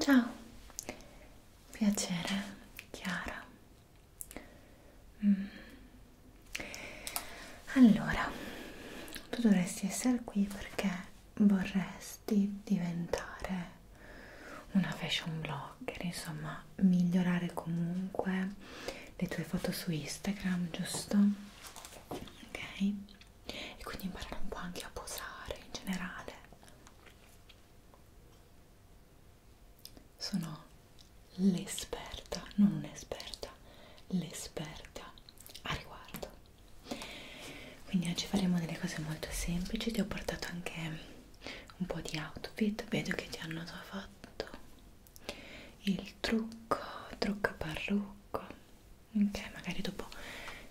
Ciao, piacere, Chiara. Mm. Allora, tu dovresti essere qui perché vorresti vorresti diventare una fashion blogger, insomma migliorare comunque le tue foto su Instagram, giusto? Ok? E quindi imparare un po' anche a posare in generale. Sono l'esperta, non un'esperta, l'esperta a riguardo. Quindi oggi faremo delle cose molto semplici, ti ho portato anche un po' di outfit vedo che ti hanno già fatto il trucco trucca parrucco ok magari dopo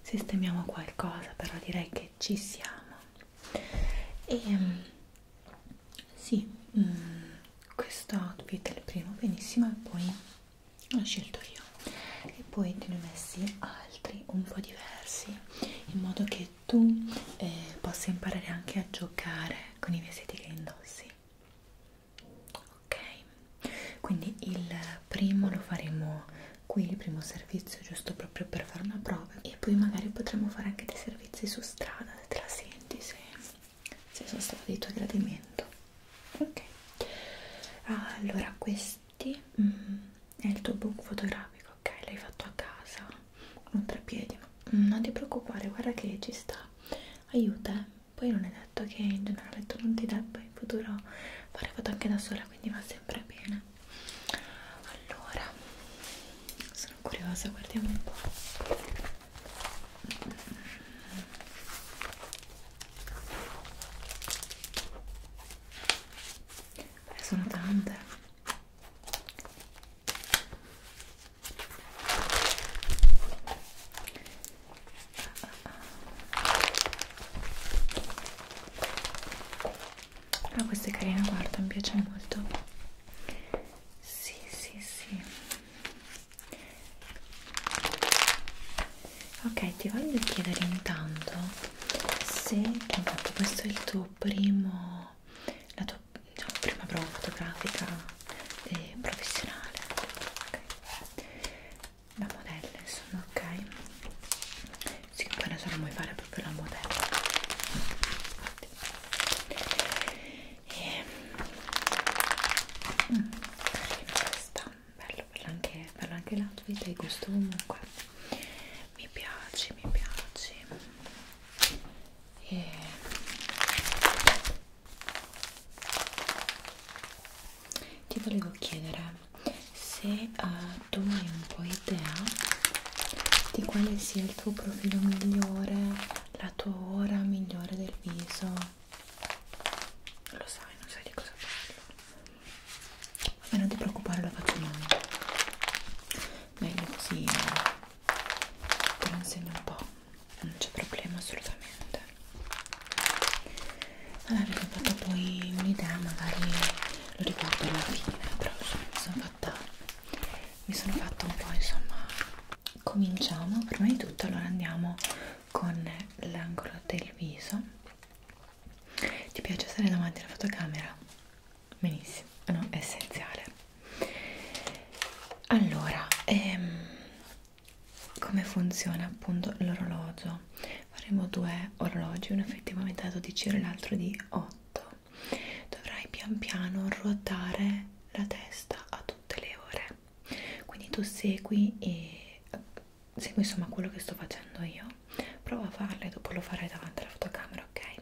sistemiamo qualcosa però direi che ci siamo e ehm, sì mh, mm, questo outfit è il primo benissimo e poi l'ho scelto io e poi te ne ho messi altri un po' diversi in modo che che tu eh, possa imparare anche a giocare con i vestiti che indossi ok quindi il primo lo faremo qui il primo servizio giusto proprio per fare una prova e poi magari potremo fare anche dei servizi su strada se te la senti se, se sono stato di tuo gradimento ok allora questo questi mm, è il tuo book fotografico, ok? L'hai fatto a casa, un treppiedi, mm, non ti preoccupare, guarda che ci sta, aiuta, eh? poi non è detto che in generale tu non ti debba in futuro fare foto anche da sola, quindi va sempre bene. Allora, sono curiosa, guardiamo un po'. Beh, sono tante Ah, questa è carina, guarda, mi piace molto. Sì, sì, sì. Ok, ti voglio chiedere intanto se, intanto questo è il tuo primo, la tua diciamo, prima prova fotografica e professionale okay. la modella insomma ok sì poi adesso non vuoi fare proprio la modella e, mm, carina questa bello, bello anche, bello anche l'outfit e il gusto comunque mi piaci, mi piaci e ti volevo chiedere se uh, tu hai un po' idea di quale sia il tuo profilo migliore, la tua ora migliore del viso. Lo sai, non sai di cosa parlo. Ma non ti preoccupare, lo faccio male meglio così te lo insegno un po' non c'è problema assolutamente allora mi sono fatta poi un'idea magari lo riguardo alla fine però insomma, mi sono fatta mi sono fatta un po' insomma cominciamo prima di tutto allora andiamo con l'angolo del viso ti piace stare davanti alla fotocamera? benissimo eh no, è essenziale allora ehm, come funziona appunto l'orologio faremo due orologi uno effettivamente da 12 ore l'altro di 8 dovrai pian piano ruotare la testa a tutte le ore quindi tu segui e eh, segui insomma quello che sto facendo io prova a farle dopo lo farai davanti alla fotocamera ok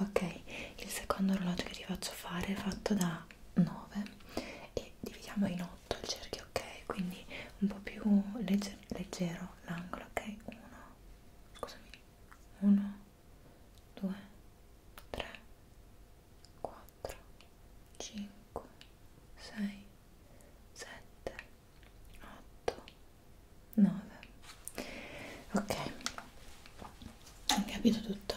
ok il secondo orologio che ti faccio fare è fatto da 9 e dividiamo in 8 il cerchio ok quindi un po' più legge leggero l'angolo ok 1 scusami 1 2 3 4 5 6 7 8 9 ok hai capito tutto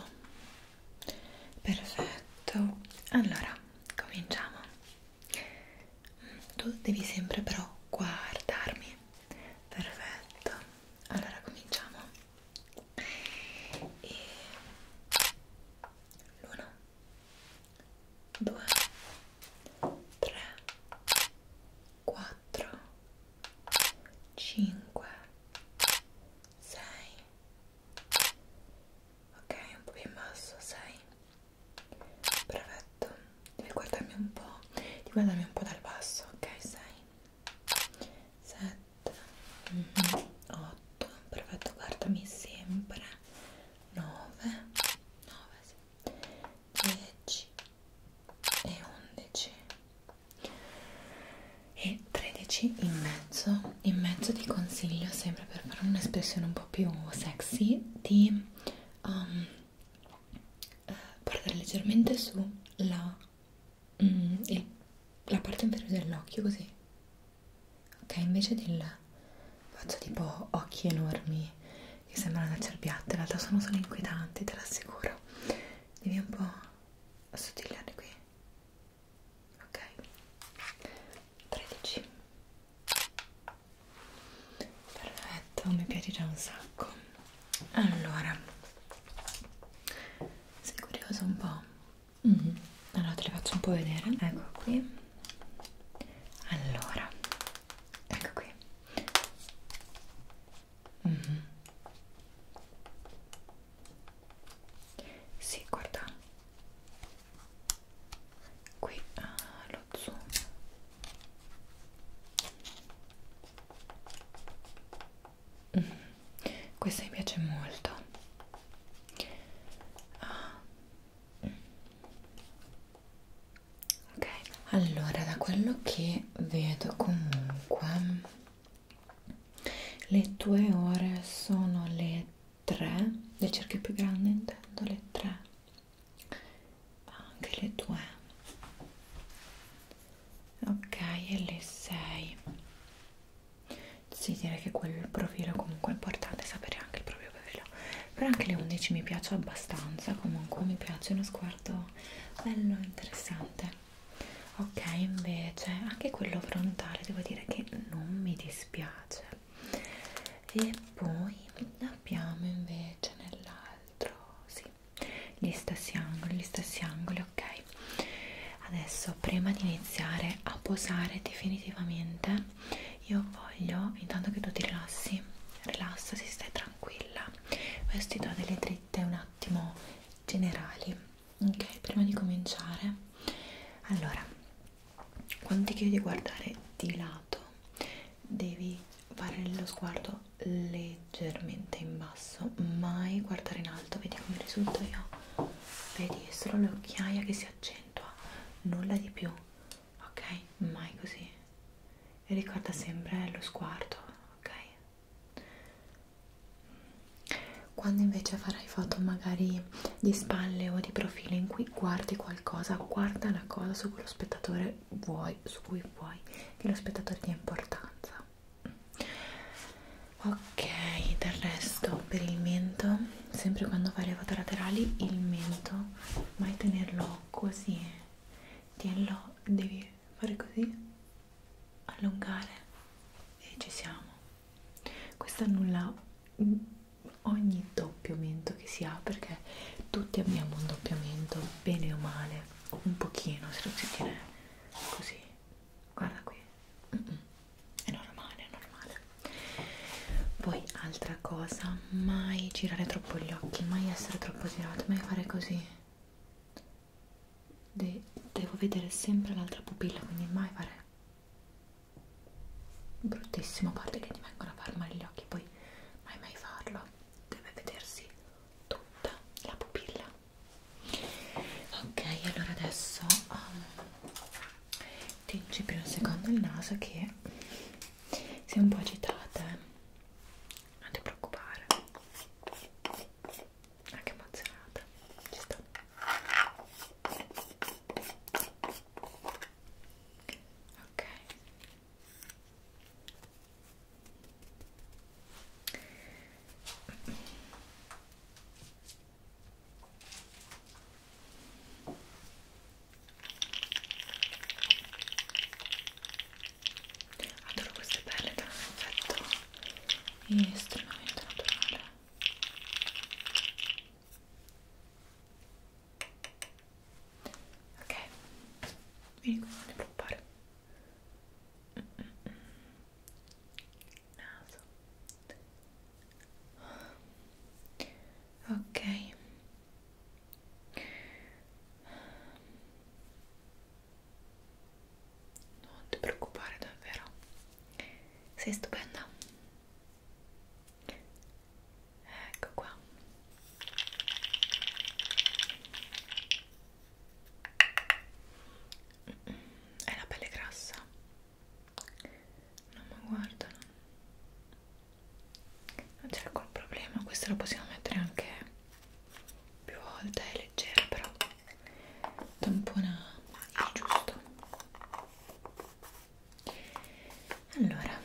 perfetto allora cominciamo tu devi sempre però guardarmi perfetto allora cominciamo e l'uno due tre 4 4 5 6 ok un po' più in basso 6 perfetto devi guardarmi un po' devi guardarmi un po' dal basso ok 6 7 mm -hmm. 8 perfetto guardami sempre 9 9 sì. 10 e 11 e 13 in mezzo in mezzo ti consiglio sempre per fare un'espressione un po' più sexy di um, portare eh, leggermente su la, mm, il, la parte inferiore dell'occhio così ok invece del faccio tipo occhi enormi che sembrano da cerbiatta in realtà sono solo inquietanti te l'assicuro devi un po' assottigliare qui ok 13 perfetto mi piace già un sacco allora sei curioso un po' mm -hmm. allora te le faccio un po' vedere ecco qui allora ecco qui Mm -hmm. Sì, guarda qui ah, lo zoom mm -hmm. questa mi piace molto ah. ok allora da quello che vedo comunque le tue ore sono le 3 le cerchi più grandi intendo le 3 anche le 2 ok e le 6 sì direi che quel profilo comunque è importante sapere anche il proprio profilo però anche le 11 mi piace abbastanza comunque mi piace uno sguardo bello interessante ok invece anche quello frontale devo dire che non mi dispiace e poi abbiamo invece nell'altro sì gli stessi angoli gli stessi angoli ok adesso prima di iniziare a posare definitivamente io voglio intanto che tu ti rilassi rilassati stai tranquilla questi do delle dritte un attimo generali ok prima di cominciare allora quando ti chiedi di guardare di lato devi fare lo sguardo leggermente in basso mai guardare in alto vedi come risulto io vedi è solo l'occhiaia che si accentua nulla di più ok mai così e ricorda sempre lo sguardo ok quando invece farai foto magari di spalle o di profilo in cui guardi qualcosa, guarda la cosa su cui lo spettatore vuoi, su cui vuoi che lo spettatore dia importanza. Ok, del resto per il mento, sempre quando fai le foto laterali, il mento, mai tenerlo così, tienilo, devi anche fare così, allungare e ci siamo. Questo annulla ogni doppiamento che si ha perché tutti abbiamo un doppiamento, bene o male, o un pochino se lo si tiene così. Guarda qui, mm -mm. è normale, è normale. Poi altra cosa, mai girare troppo gli occhi, mai essere troppo girato, mai fare così. De devo vedere sempre l'altra pupilla, quindi mai fare bruttissimo, a parte che ti vengono a far male gli occhi, poi mai mai farlo, deve vedersi tutta la pupilla. Ok, allora adesso um, tingi prima un secondo il naso che sei un po' agitata, eh? non ti preoccupare anche emozionata ci sta ok Adoro queste perle che hanno un effetto è estremamente naturale ok vieni qua a preoccupare naso ok non ti preoccupare davvero, sei stupenda. Ecco qua. È la pelle grassa. Non mi guardano. Non c'è alcun problema, questo lo possiamo mettere anche più volte, è leggera però tampona magica giusto allora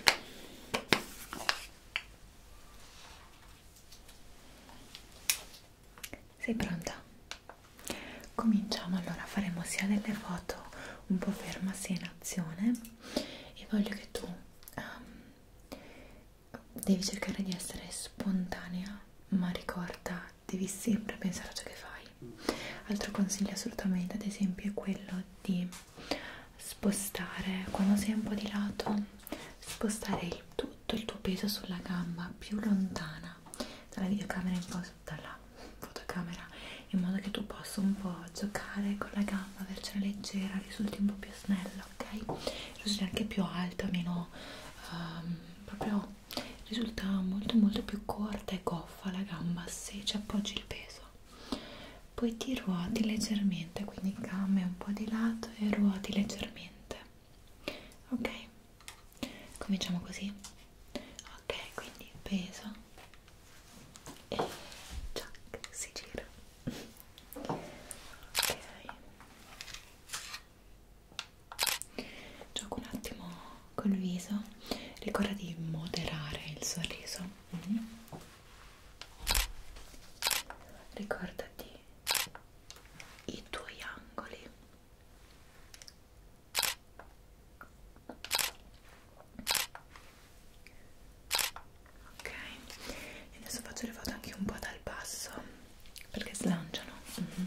sei pronta? cominciamo allora faremo sia delle foto un po' ferma sia in azione e voglio che tu um, devi cercare di essere spontanea ma ricorda vita devi sempre pensare a ciò che fai. Altro consiglio assolutamente, ad esempio, è quello di spostare, quando sei un po' di lato, spostare il, tutto il tuo peso sulla gamba più lontana dalla videocamera in po' dalla fotocamera, in modo che tu possa un po' giocare con la gamba, avercela leggera, risulti un po' più snella, ok? Risulti anche più alta, meno um, proprio risulta molto molto più corta e goffa la gamba se ci appoggi il peso poi ti ruoti leggermente quindi gambe un po' di lato e ruoti leggermente ok cominciamo così ok quindi peso e ciac si gira ok gioco un attimo col viso ricorda di moderare il sorriso mm -hmm. ricordati i tuoi angoli ok adesso faccio le foto anche un po' dal basso perché slanciano mm -hmm.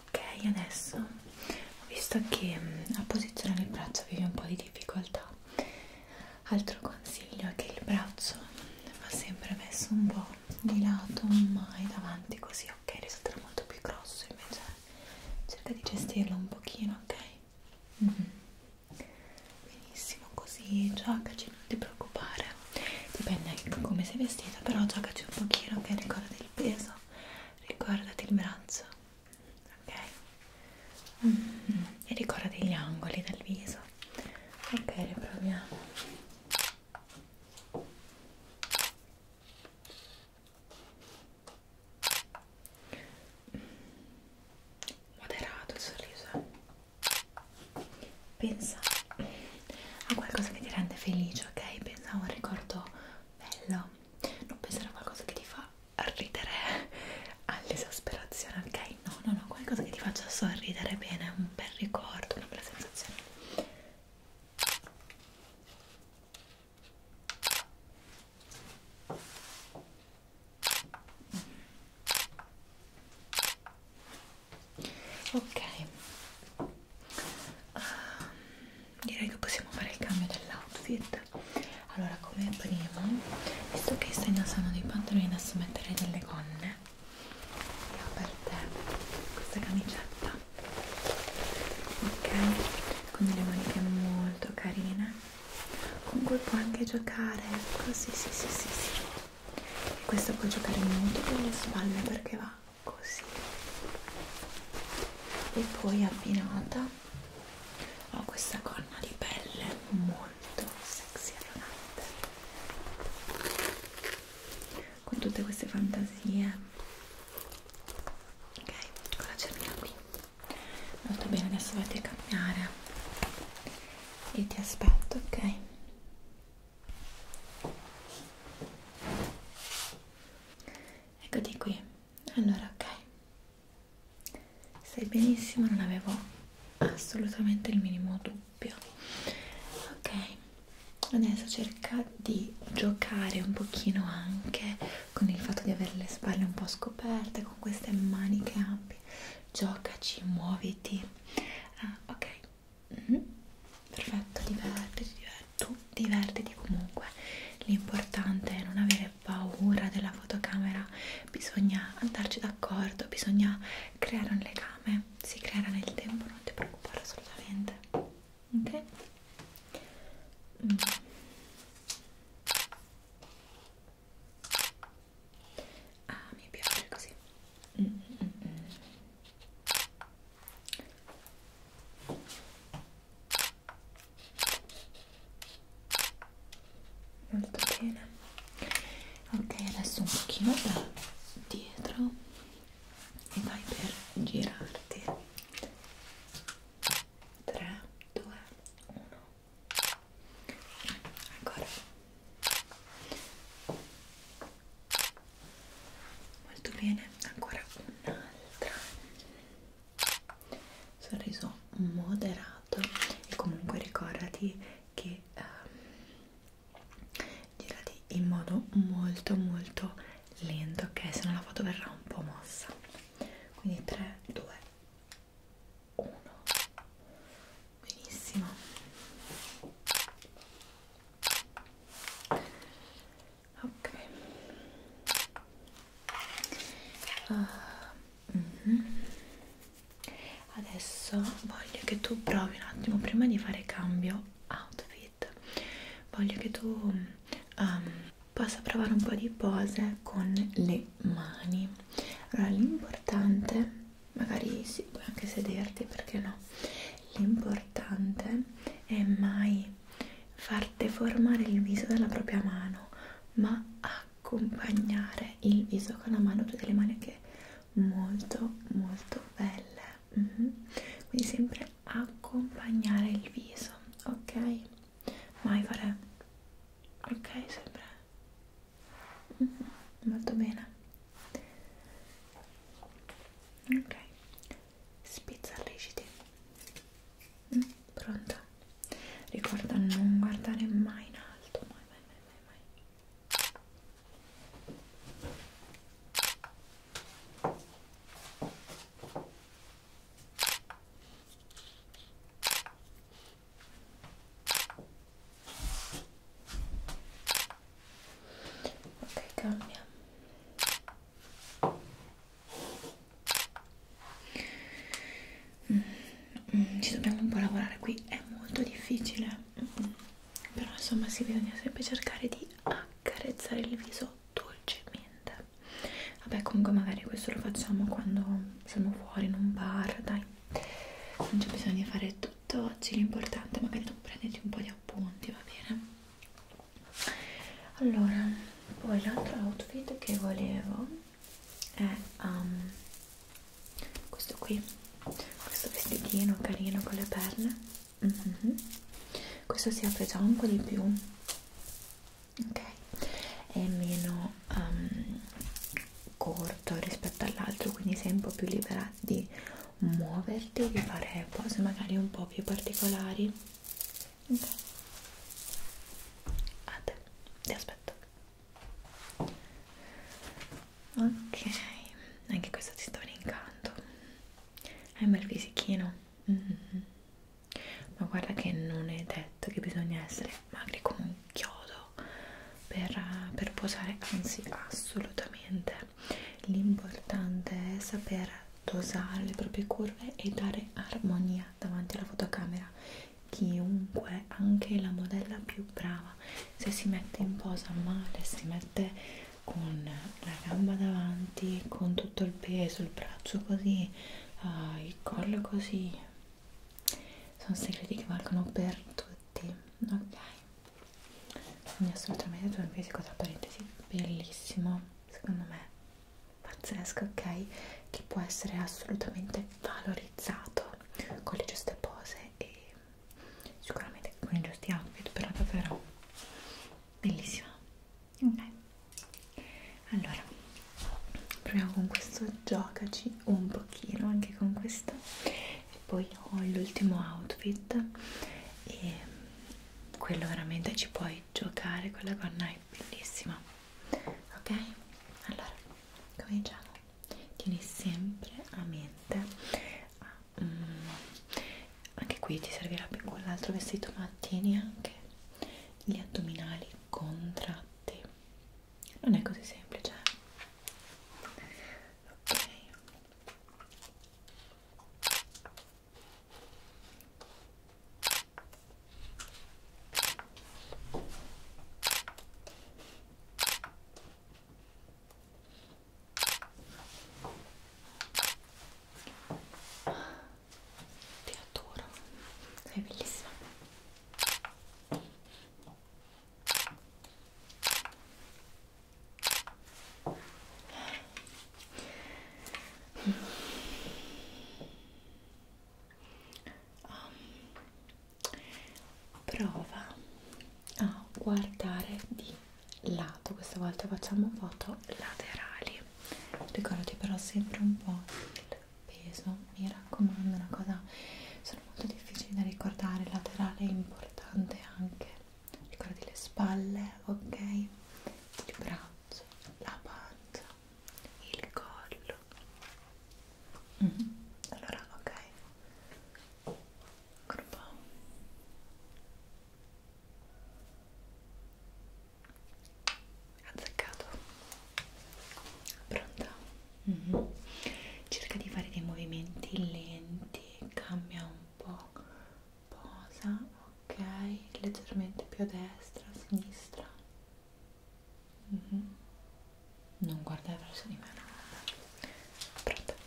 Ok, adesso ho visto che mm, a posizionare il braccio avevi un po' di difficoltà. Altro consiglio è che il braccio va sempre messo un po' di lato, mai davanti, così ok? Risulterà molto più grosso invece cerca di gestirlo un pochino, ok? Mm -hmm. Benissimo, così giocaci, non ti preoccupare dipende anche da come sei vestita però giocaci un pochino, ok? Ricordati il peso ricordati il braccio ok? Mm -hmm. e ricordati gli angoli del viso ok, riproviamo moderato il sorriso pensa a qualcosa che ti rende felice ok pensa a un ricordo bello non pensare a qualcosa che ti fa ridere all'esasperazione ok no no no qualcosa che ti faccia sorridere bene un bel ricordo una bella sensazione ok uh, direi che possiamo fare il cambio dell'outfit allora come primo visto che stai indossando dei pantaloni adesso metterei delle gonne ho per te questa camicetta ok con delle maniche molto carine con cui puoi anche giocare così sì sì sì sì e questo puoi giocare molto con le spalle perché va così e poi abbinata ho questa corna di pelle molto sexy e elegante con tutte queste fantasie ok con la cerniera qui molto bene adesso vado a cambiare e ti aspetto ok eccoti qui allora ok stai benissimo non avevo assolutamente il minimo dubbio ok adesso cerca di giocare un pochino anche con il fatto di avere le spalle un po' scoperte con queste maniche ampie giocaci, muoviti ah, ok mm -hmm. perfetto, divertiti, tu divertiti comunque l'importante è non avere paura della fotocamera bisogna andarci d'accordo bisogna creare un legame si creerà nel tempo, non ti preoccupare assolutamente ok mm. ah mi piace così mm, mm, mm. molto bene ok adesso un pochino da dietro e vai per girarti 3 2 1 ancora molto bene ancora un'altra sorriso moderato e comunque ricordati che um, girati in modo molto molto lento ok se no la foto verrà un po' mossa quindi 3 2 1 benissimo ok uh, mm -hmm. adesso voglio che tu provi un attimo prima di fare cambio outfit street voglio che tu um, possa provare un po' di pose con le mani allora l'importante magari sì puoi anche sederti perché no l'importante è mai far deformare il viso dalla propria mano ma accompagnare il viso con la mano tutte le mani che molto molto belle mm -hmm. quindi sempre accompagnare il viso ok mai fare ok sempre mm -hmm. molto bene ok spizzarriciti mm, pronta ricorda non guardare mai in alto mai mai mai mai, mai. Ok, cambia. Mm, mm, ci dobbiamo un po' lavorare qui, è molto difficile. Mm, mm. però insomma si bisogna sempre cercare di carezzare il viso dolcemente vabbè comunque magari questo lo facciamo quando siamo fuori in un bar dai non c'è bisogno di fare tutto oggi l'importante magari tu prenditi un po' di appunti va bene allora poi l'altro outfit che volevo è um, questo qui questo vestitino carino con le perle mm -hmm. questo si apre già un po' di più ok è meno um, corto rispetto all'altro quindi sei un po' più libera di muoverti di fare cose magari un po' più particolari ok a te ti aspetto ok anche questo ti sta brincando hai un bel fisichino Mm. Ma guarda che non è detto che bisogna essere magri come un chiodo per, per posare, anzi assolutamente. L'importante è saper dosare le proprie curve e dare armonia davanti alla fotocamera. Chiunque, anche la modella più brava, se si mette in posa male, si mette con la gamba davanti, con tutto il peso, il braccio così, uh, il collo così. Sono segreti che valgono per tutti, ok? Quindi assolutamente tu hai un fisico tra parentesi bellissimo, secondo me pazzesco, ok? Che può essere assolutamente valorizzato con le giuste pose e sicuramente con i giusti outfit, però davvero bellissima ok allora proviamo con questo giocaci un pochino anche con questo e poi ho l'ultimo outfit e quello veramente ci puoi giocare quella gonna è bellissima ok allora cominciamo tieni sempre a mente a, um, anche qui ti servirà più quell'altro vestito ma tieni anche gli addominali contratti non è così semplice eh. ok ti adoro sei bellissima um, prova a guardare di lato lato questa volta facciamo foto laterali ricordati però sempre un po' il peso mi raccomando una cosa sono molto difficili da ricordare laterale è importante anche ricordi le spalle ok il braccio la pancia il collo mm -hmm. allora ok Ancora un po' azzeccato pronta? Mm -hmm. cerca di fare dei movimenti lenti cambia un po' posa ok leggermente più a destra a sinistra mm -hmm. non guardare verso di me no. pronta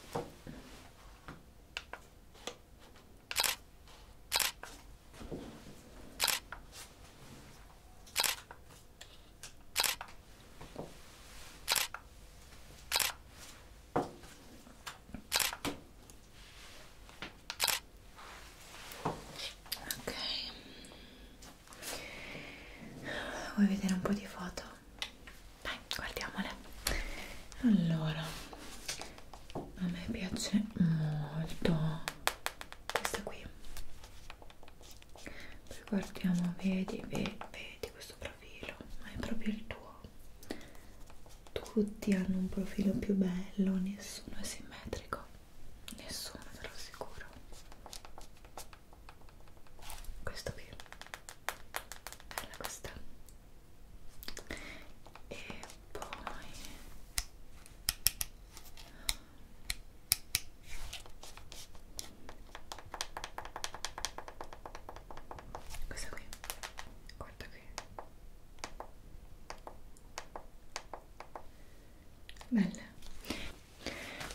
Ok, vuoi vedere un po' di foto? Dai, guardiamole. Allora, a me piace molto questa qui poi guardiamo vedi vedi, vedi questo profilo ma è proprio il tuo tutti hanno un profilo più bello nessuno è simmetrico nessuno te lo assicuro questo qui bella questa e poi questa qui guarda qui belle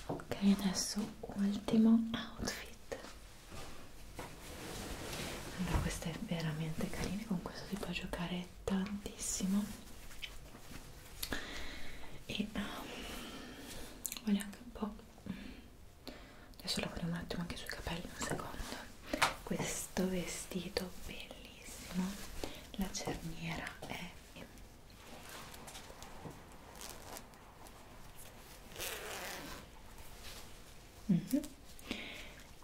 ok adesso ultimo outfit allora questa è veramente carina con questo si può giocare piace tantissimo e um, voglio anche un po' adesso lavoriamo un attimo anche sui capelli un secondo questo vestito bellissimo la cerniera è mm -hmm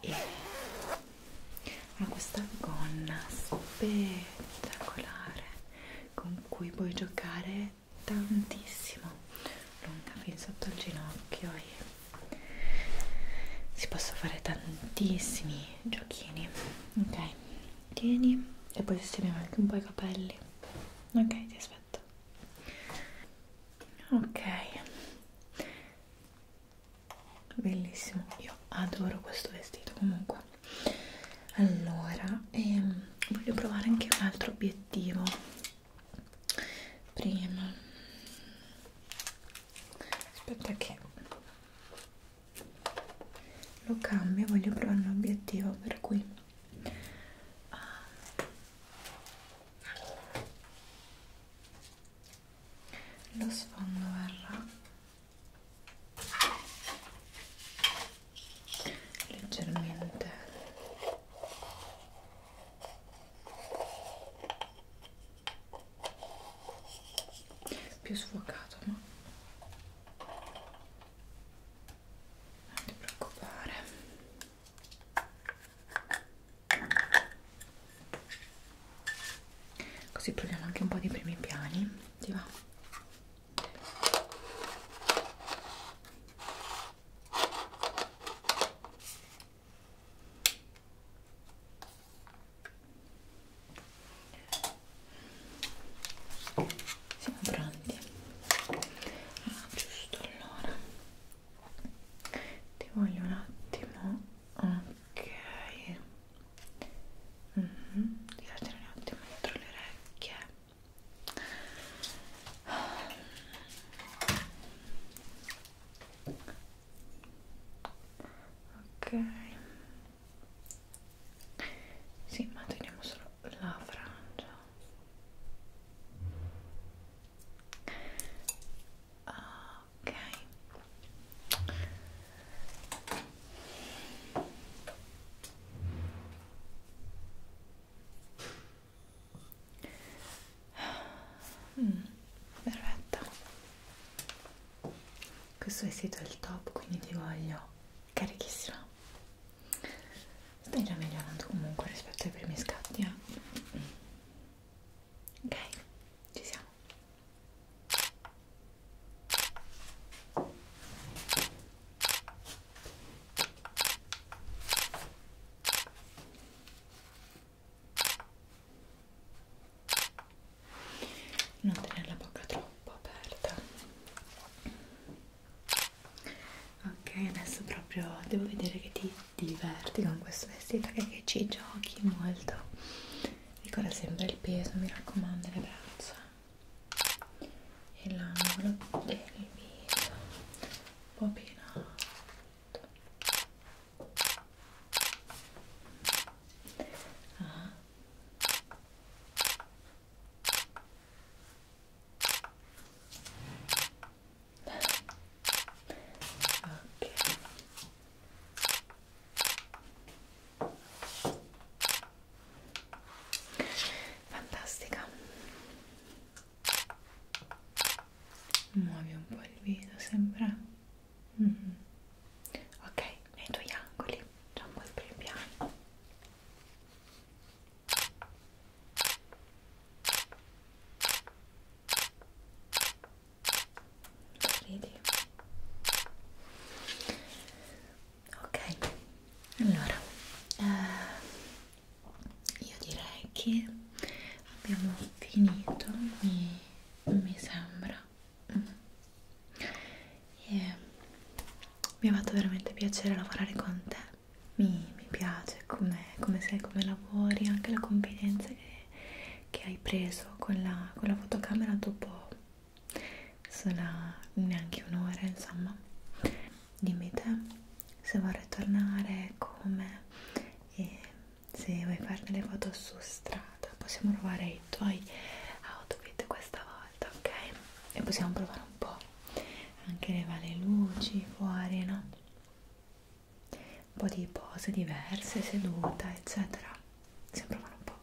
e ha questa gonna spettacolare con cui puoi giocare tantissimo lunga fin sotto il ginocchio e si possono fare tantissimi giochini ok tieni e poi sistemiamo anche un po' i capelli ok ti aspetto ok bellissimo io adoro questo vestito comunque allora ehm, voglio provare anche un altro obiettivo prima aspetta che lo cambio voglio provare un obiettivo per cui ah lo sfondo verrà leggermente più sfocato ma non ti preoccupare Così proviamo anche un po' di primi piani. Ti va? Siamo pronti. Ah, giusto allora. Ti voglio un attimo. Ok mm -hmm. devi tenere un attimo dietro le orecchie ok sì ma teniamo solo la frangia Ah, ok mm, perfetto questo vestito è il top quindi ti voglio carichissima stai già migliorando comunque rispetto ai primi scatti eh? ok ci siamo non tenere la bocca troppo aperta ok adesso proprio devo vedere che ti diverti con questo vestito che, che ci giochi molto ricorda sempre il peso mi raccomando le braccia e l'angolo del viso un po' più in alto ah. ok fantastica muovi un po' il viso sembra mm -hmm. ok nei tuoi angoli già un po' il più piano Ridi. Ok, allora eh, io direi che abbiamo finito, mi, mi sembra. Mm. E mi ha fatto veramente piacere lavorare con te, mi, mi piace come, come sei, come lavori, anche la confidenza che, che hai preso con la, con la fotocamera dopo sarà neanche un'ora insomma dimmi te se vorrai tornare come e se vuoi fare delle foto su strada possiamo provare i tuoi outfit questa volta ok e possiamo provare un po' anche le varie luci fuori no un po' di pose diverse seduta eccetera sempre male un po'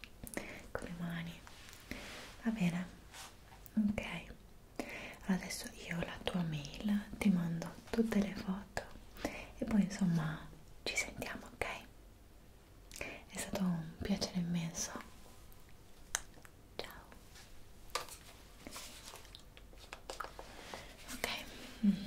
con le mani va bene ok allora adesso io la tua mail ti mando tutte le foto e poi insomma ci sentiamo ok è stato un piacere immenso ciao ok mm.